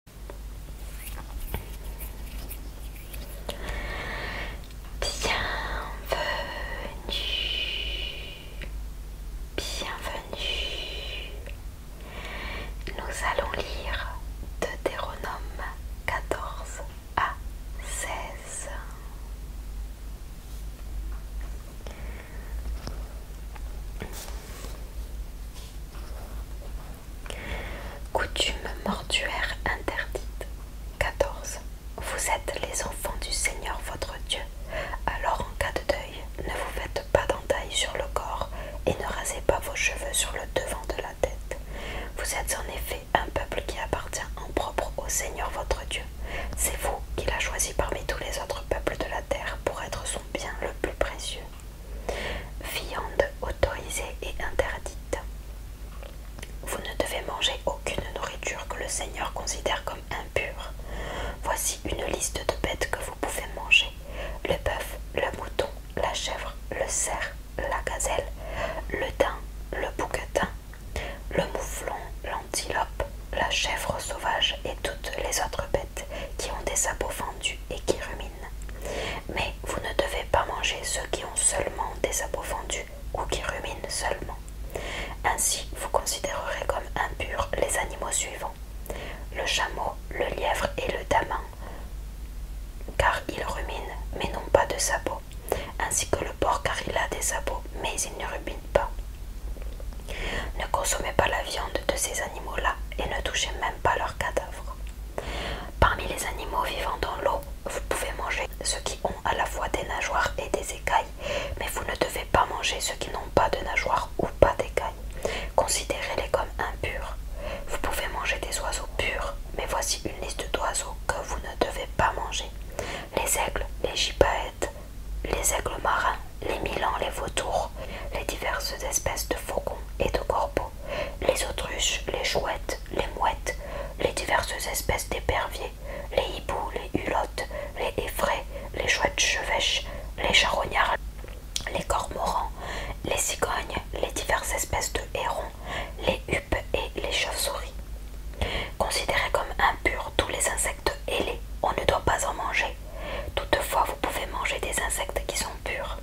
Bienvenue, bienvenue. Nous allons lire Deutéronome 14 à 16. Coutume mortuaire interdite. 14. Vous êtes les enfants du Seigneur votre Dieu. Alors en cas de deuil, ne vous faites pas d'entailles sur le corps et ne rasez pas vos cheveux sur le devant de la tête. Vous êtes en effet un peuple qui appartient en propre au Seigneur votre Dieu. C'est vous qu'il a choisi parmi tous les autres peuples de la terre pour être son bien le plus précieux. Viande autorisée et interdite. Vous ne devez manger aucune nourriture que le Seigneur considère comme impure. Voici une liste de bêtes que vous pouvez manger. Le bœuf, le mouton, la chèvre, le cerf, la gazelle, le daim, le bouquetin, le mouflon, l'antilope, la chèvre sauvage et toutes les autres bêtes qui ont des sabots fendus et qui ruminent. Mais vous ne devez pas manger ceux qui ont seulement des sabots fendus ou qui ruminent seulement. Ainsi, vous considérerez comme impurs les animaux suivants le chameau, le lièvre et le daman, car ils ruminent mais n'ont pas de sabots, ainsi que le porc car il a des sabots mais il ne rumine pas, ne consommez pas la viande de ces animaux-là et ne touchez même pas leurs cadavres. Parmi les animaux vivant dans l'eau, vous pouvez manger ceux qui ont à la fois des nageoires et des écailles, mais vous ne devez pas manger ceux qui n'ont pas de nageoires ou pas d'écailles. Considérez-les comme impurs. Vous pouvez manger des oiseaux purs, mais voici une liste d'oiseaux que vous ne devez pas manger. Les aigles, les gypaètes, les aigles marins, les milans, les vautours, les diverses espèces de faucons et de corbeaux, les autruches, les chouettes, les mouettes, les diverses espèces d'éperviers, les hiboux, les hulottes, les effraies, les chouettes chevêches, les charognards, les cormorans, les cigognes, les diverses espèces de hérons, les huppes et les chauves-souris. Considérés comme impurs, tous les insectes ailés. On ne doit pas en manger. Toutefois, vous pouvez manger des insectes qui sont purs.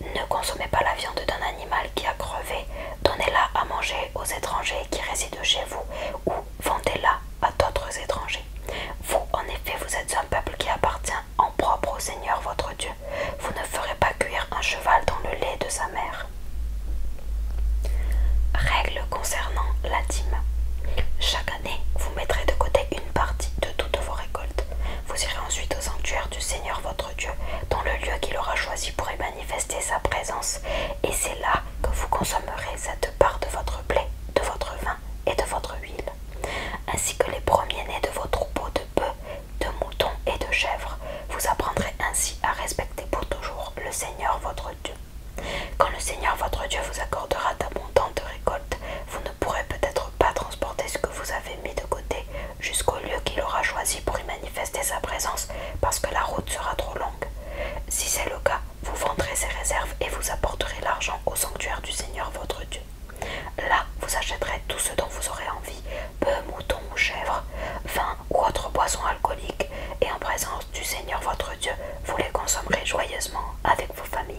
Ne consommez pas la viande d'un animal qui a crevé. Donnez-la à manger aux étrangers qui résident chez vous ou vendez-la à d'autres étrangers. Vous, en effet, vous êtes un peuple qui appartient en propre au Seigneur votre Dieu. Vous ne ferez pas cuire un cheval dans le lait de sa mère. Règle concernant la dîme vous mettrez de côté une partie de toutes vos récoltes. Vous irez ensuite au sanctuaire du Seigneur votre Dieu, dans le lieu qu'il aura choisi pour y manifester sa présence, et c'est là que vous consommerez cette part de votre blé, de votre vin et de votre huile, ainsi que les premiers-nés de vos troupeaux de bœufs, de moutons et de chèvres. Vous apprendrez ainsi à respecter pour toujours le Seigneur votre Dieu. Quand le Seigneur votre Dieu vous accordera d'abondantes récoltes, vous ne pourrez peut-être pas transporter ce que vous avez mis de côté jusqu'au lieu qu'il aura choisi pour y manifester sa présence, parce que la route sera trop longue. Si c'est le cas, vous vendrez ces réserves et vous apporterez l'argent au sanctuaire du Seigneur votre Dieu. Là, vous achèterez tout ce dont vous aurez envie, peu, mouton ou chèvre, vin ou autre boisson alcoolique, et en présence du Seigneur votre Dieu, vous les consommerez joyeusement avec vos familles.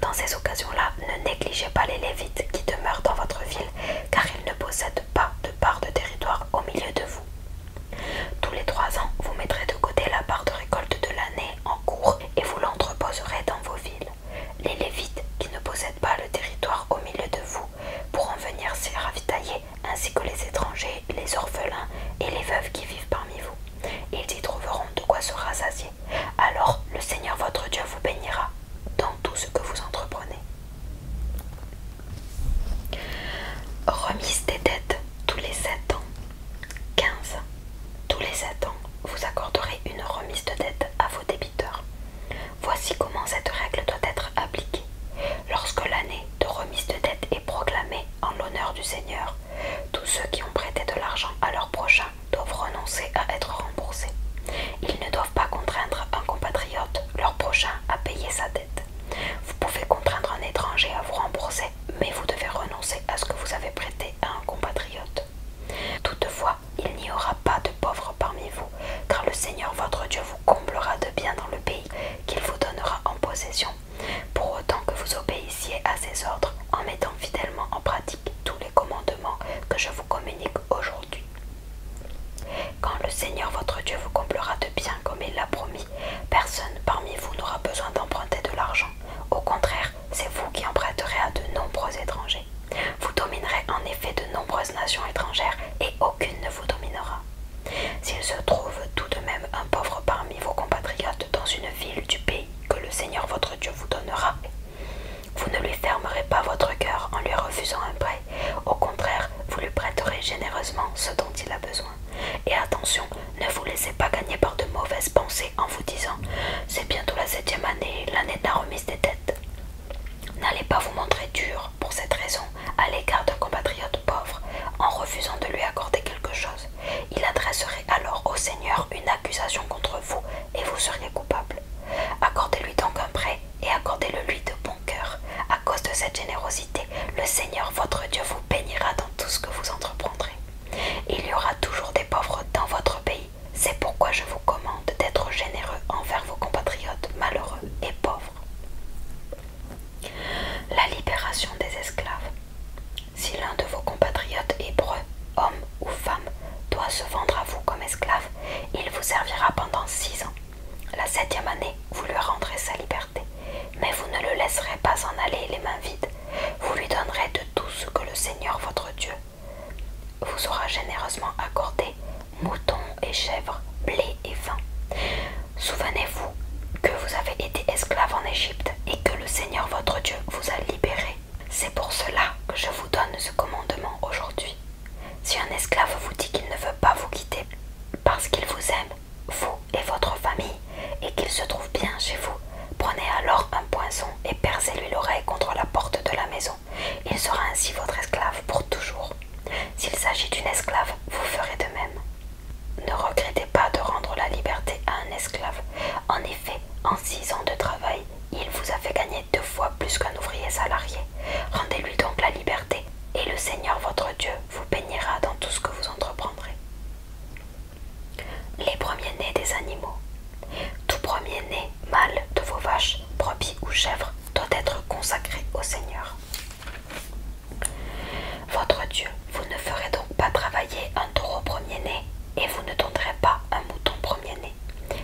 Dans ces occasions-là, ne négligez pas les Lévites qui demeurent dans votre ville, car ils ne possèdent pas de part de territoire au milieu de vous. Tous les trois ans, vous mettrez de côté la part de récolte de l'année en cours et vous l'entreposerez dans vos villes. Les Lévites qui ne possèdent pas le territoire au milieu de vous pourront venir s'y ravitailler ainsi que les étrangers, les orphelins et les veuves qui vivent parmi vous. Ils y trouveront de quoi se rassasier. Alors le Seigneur votre Dieu vous bénira dans tout ce que vous entreprenez. Remise des dettes tous les 7 ans. 15. Tous les 7 ans, vous accorderez une remise de dette à vos débiteurs. Voici comment cette règle doit être appliquée. Lorsque l'année de remise de dette est proclamée en l'honneur du Seigneur, tous ceux qui ont prêté de l'argent à leur prochain doivent renoncer à être remboursés. Ils ne doivent pas contraindre un compatriote, leur prochain, à payer sa dette. Vous pouvez contraindre un étranger à vous rembourser, mais vous devez renoncer à ce que vous avez prêté à un compatriote. Toutefois, il n'y aura pas de pauvres parmi vous, car le Seigneur votre Dieu vous comblera de bien dans le pays qu'il vous donnera en possession, pour autant que vous obéissiez à ses ordres en mettant fidèlement en pratique tous les commandements que je vous communique aujourd'hui. Quand le Seigneur votre Dieu vous comblera de bien comme il l'a promis, personne parmi vous n'aura besoin d'emprunter de l'argent. Au contraire, c'est vous qui emprunterez à de nombreux étrangers. Vous dominerez en effet de nombreuses nations étrangères et aucune ne vous dominera. S'il se trouve tout de même un pauvre parmi vos compatriotes dans une ville du pays que le Seigneur votre Dieu vous donnera, vous ne lui fermerez pas votre cœur en lui refusant un prêt. Au contraire, vous lui prêterez généreusement ce dont il a besoin. Et attention, ne vous laissez pas gagner par de mauvaises pensées en vous disant C'est bientôt la septième année, l'année de la remise des têtes N'allez pas vous montrer dur pour cette raison à l'égard d'un compatriote pauvre en refusant de lui accorder quelque chose. Il adresserait alors au Seigneur une accusation contre vous et vous seriez coupable. Accordez-lui donc un prêt et accordez-le lui de bon cœur. À cause de cette générosité, le Seigneur votre Dieu vous bénira dans tout ce que vous entreprendrez. Il y aura toujours des pauvres dans votre pays. C'est pourquoi je vous commande d'être généreux envers vos compatriotes malheureux et pauvres. La libération des esclaves. Si l'un de vos compatriotes hébreux, homme ou femme, doit se vendre à vous comme esclave, il vous servira pendant six ans. La septième année, vous lui rendrez sa liberté, mais vous ne le laisserez pas en aller les mains vides. Vous lui donnerez de tout ce que le Seigneur votre Dieu vous aura généreusement accordé moutons et chèvres, blé et vin. Souvenez-vous que vous avez été esclave en Égypte et que le Seigneur votre Dieu vous a libéré. C'est pour cela que je vous donne ce commandement aujourd'hui. Si un esclave vous dit qu'il ne veut pas vous quitter parce qu'il vous aime, vous et votre famille, et qu'il se trouve bien chez vous, prenez alors un poisson et percez-lui l'oreille contre la porte de la maison. Il sera ainsi votre esclave pour toujours. S'il s'agit d'une esclave, vous ferez de même. Ne regrettez pas de rendre la liberté à un esclave. En effet, en six ans de travail, il vous a fait gagner deux fois plus qu'un ouvrier salarié. Rendez-lui donc la liberté, et le Seigneur votre Dieu vous bénira dans tout ce que vous entreprendrez. Les premiers-nés des animaux. Tout premier né mâle de vos vaches, brebis ou chèvres doit être consacré au Seigneur. Votre Dieu, vous ne ferez donc pas travailler un taureau premier-né et vous ne donnerez pas un mouton premier-né.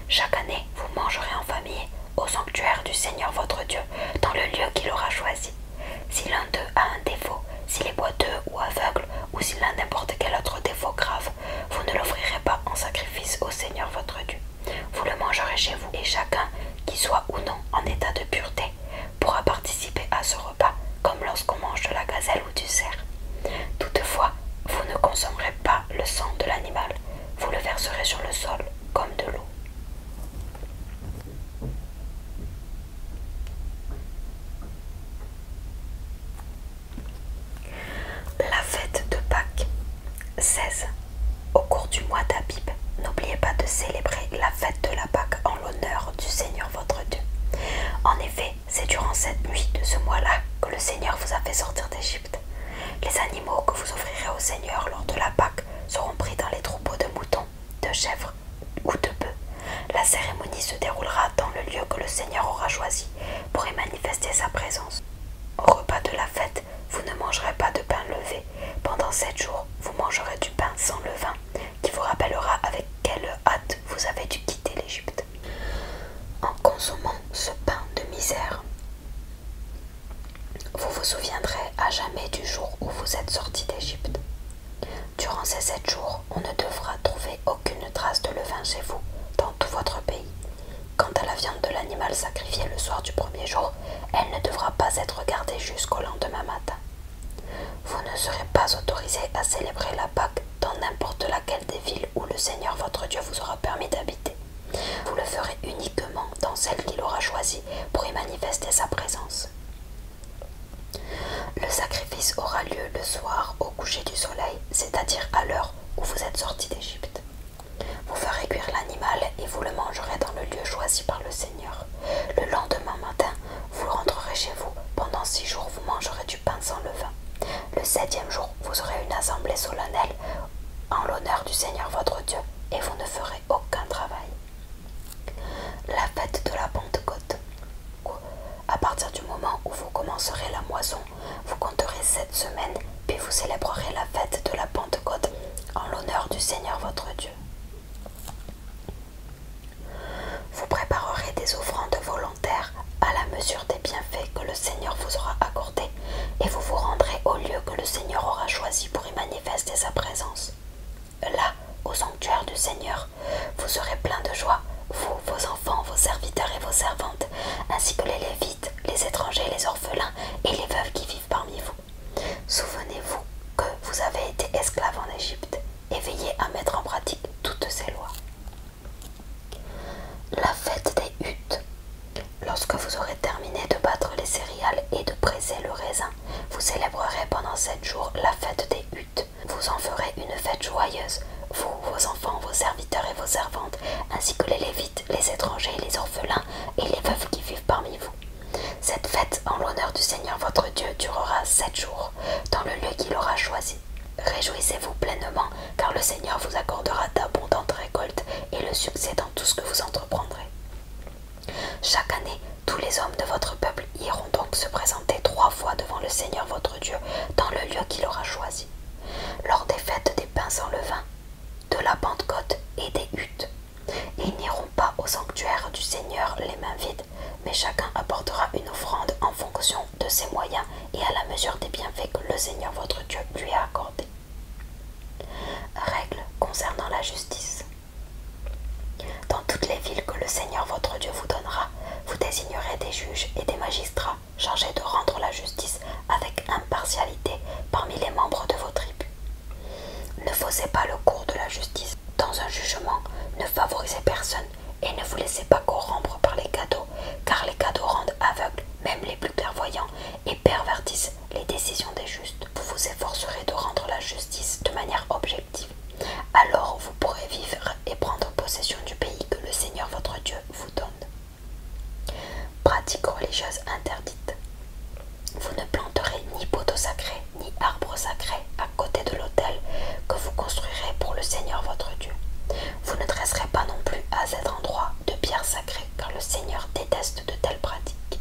Chaque année, vous mangerez en famille au sanctuaire du Seigneur votre Dieu dans le lieu qu'il aura choisi. Si l'un d'eux a un défaut, s'il est boiteux ou aveugle, ou s'il a n'importe quel autre défaut grave, vous ne l'offrirez pas en sacrifice au Seigneur votre Dieu. Vous le mangerez chez vous, et chacun, qui soit ou non en état de pureté, pourra participer à ce repas, comme lorsqu'on mange de la gazelle ou du cerf. Toutefois, vous ne consommerez pas le sang de l'animal, vous le verserez sur le sol, comme de l'eau. La fête de Pâques 16. Au cours du mois d'Abib, n'oubliez pas de célébrer la fête de la Pâque en l'honneur du Seigneur votre Dieu. En effet, c'est durant cette nuit de ce mois-là que le Seigneur vous a fait sortir d'Égypte. Les animaux que vous offrirez au Seigneur lors de la Pâque seront pris dans les troupeaux de moutons, de chèvres ou de bœufs. La cérémonie se déroulera dans le lieu que le Seigneur aura choisi y manifester sa présence. Au repas de la fête, vous ne mangerez pas de pain levé. Pendant sept jours, vous mangerez du pain sans levain, qui vous rappellera avec quelle hâte vous avez dû quitter l'Égypte. En consommant ce pain de misère, vous vous souviendrez à jamais du jour où vous êtes sorti d'Égypte. Durant ces sept jours, on ne devra trouver aucune trace de levain chez vous, dans tout votre pays. Quant à la viande de l'animal sacrifié le soir du premier jour, elle ne devra pas être gardée jusqu'au lendemain matin. Vous ne serez pas autorisé à célébrer la Pâque dans n'importe laquelle des villes où le Seigneur votre Dieu vous aura permis d'habiter. Vous le ferez uniquement dans celle qu'il aura choisie pour y manifester sa présence. Le sacrifice aura lieu le soir au coucher du soleil c'est-à-dire à, l'heure où vous êtes sortis d'Égypte. Vous ferez cuire l'animal et vous le mangerez dans le lieu choisi par le Seigneur. Le lendemain matin, vous rentrerez chez vous. Pendant six jours, vous mangerez du pain sans levain. Le septième jour, vous aurez une assemblée solennelle en l'honneur du Seigneur votre Dieu et vous ne ferez aucun travail. La fête de la Pentecôte. À partir du moment où vous commencerez la moisson, vous compterez sept semaines, puis vous célébrerez la fête de la Pentecôte en l'honneur du Seigneur votre Dieu. Vous préparerez des offrandes volontaires à la mesure des bienfaits que le Seigneur vous aura accordés, et vous vous rendrez au lieu que le Seigneur aura choisi pour y manifester sa présence. Là, au sanctuaire du Seigneur, vous serez plein de joie, vous, vos enfants, vos serviteurs et vos servantes, ainsi que les Lévites, les étrangers, les orphelins et les veuves qui vivent parmi vous. Souvenez-vous que vous avez été esclaves en Égypte et veillez à mettre en pratique toutes ces lois. La fête des huttes. Lorsque vous aurez terminé de battre les céréales et de presser le raisin, vous célébrerez pendant sept jours la fête des huttes vous en ferez une fête joyeuse, vous, vos enfants, vos serviteurs et vos servantes, ainsi que les Lévites, les étrangers, les orphelins et les veuves qui vivent parmi vous. Cette fête en l'honneur du Seigneur votre Dieu durera sept jours, dans le lieu qu'il aura choisi. Réjouissez-vous pleinement, car le Seigneur vous accordera d'abondantes récoltes et le succès dans tout ce que vous entreprendrez. Chaque année, tous les hommes de votre peuple iront donc se présenter trois fois devant le Seigneur votre Dieu dans le lieu qu'il aura choisi, lors des fêtes des pains sans levain, de la Pentecôte et des huttes. Ils n'iront pas au sanctuaire du Seigneur les mains vides, mais chacun apportera une offrande en fonction de ses moyens et à la mesure des bienfaits que le Seigneur votre Dieu lui a accordés. Règle concernant la justice. Dans toutes les villes que le Seigneur votre Dieu vous donnera, vous désignerez des juges et des magistrats chargés de rendre la justice avec impartialité parmi les membres de vos tribus. Ne faussez pas le cours de la justice dans un jugement, ne favorisez personne et ne vous laissez pas corrompre par les cadeaux, car les cadeaux rendent aveugles même les plus clairvoyants et pervertissent les décisions des justes. Vous vous efforcerez de rendre la justice de manière objective alors vous pourrez vivre et prendre possession du pays que le Seigneur votre Dieu vous donne. Pratique religieuse interdite. Vous ne planterez ni poteau sacré, ni arbre sacré à côté de l'autel que vous construirez pour le Seigneur votre Dieu. Vous ne dresserez pas non plus à cet endroit de pierre sacrées car le Seigneur déteste de telles pratiques.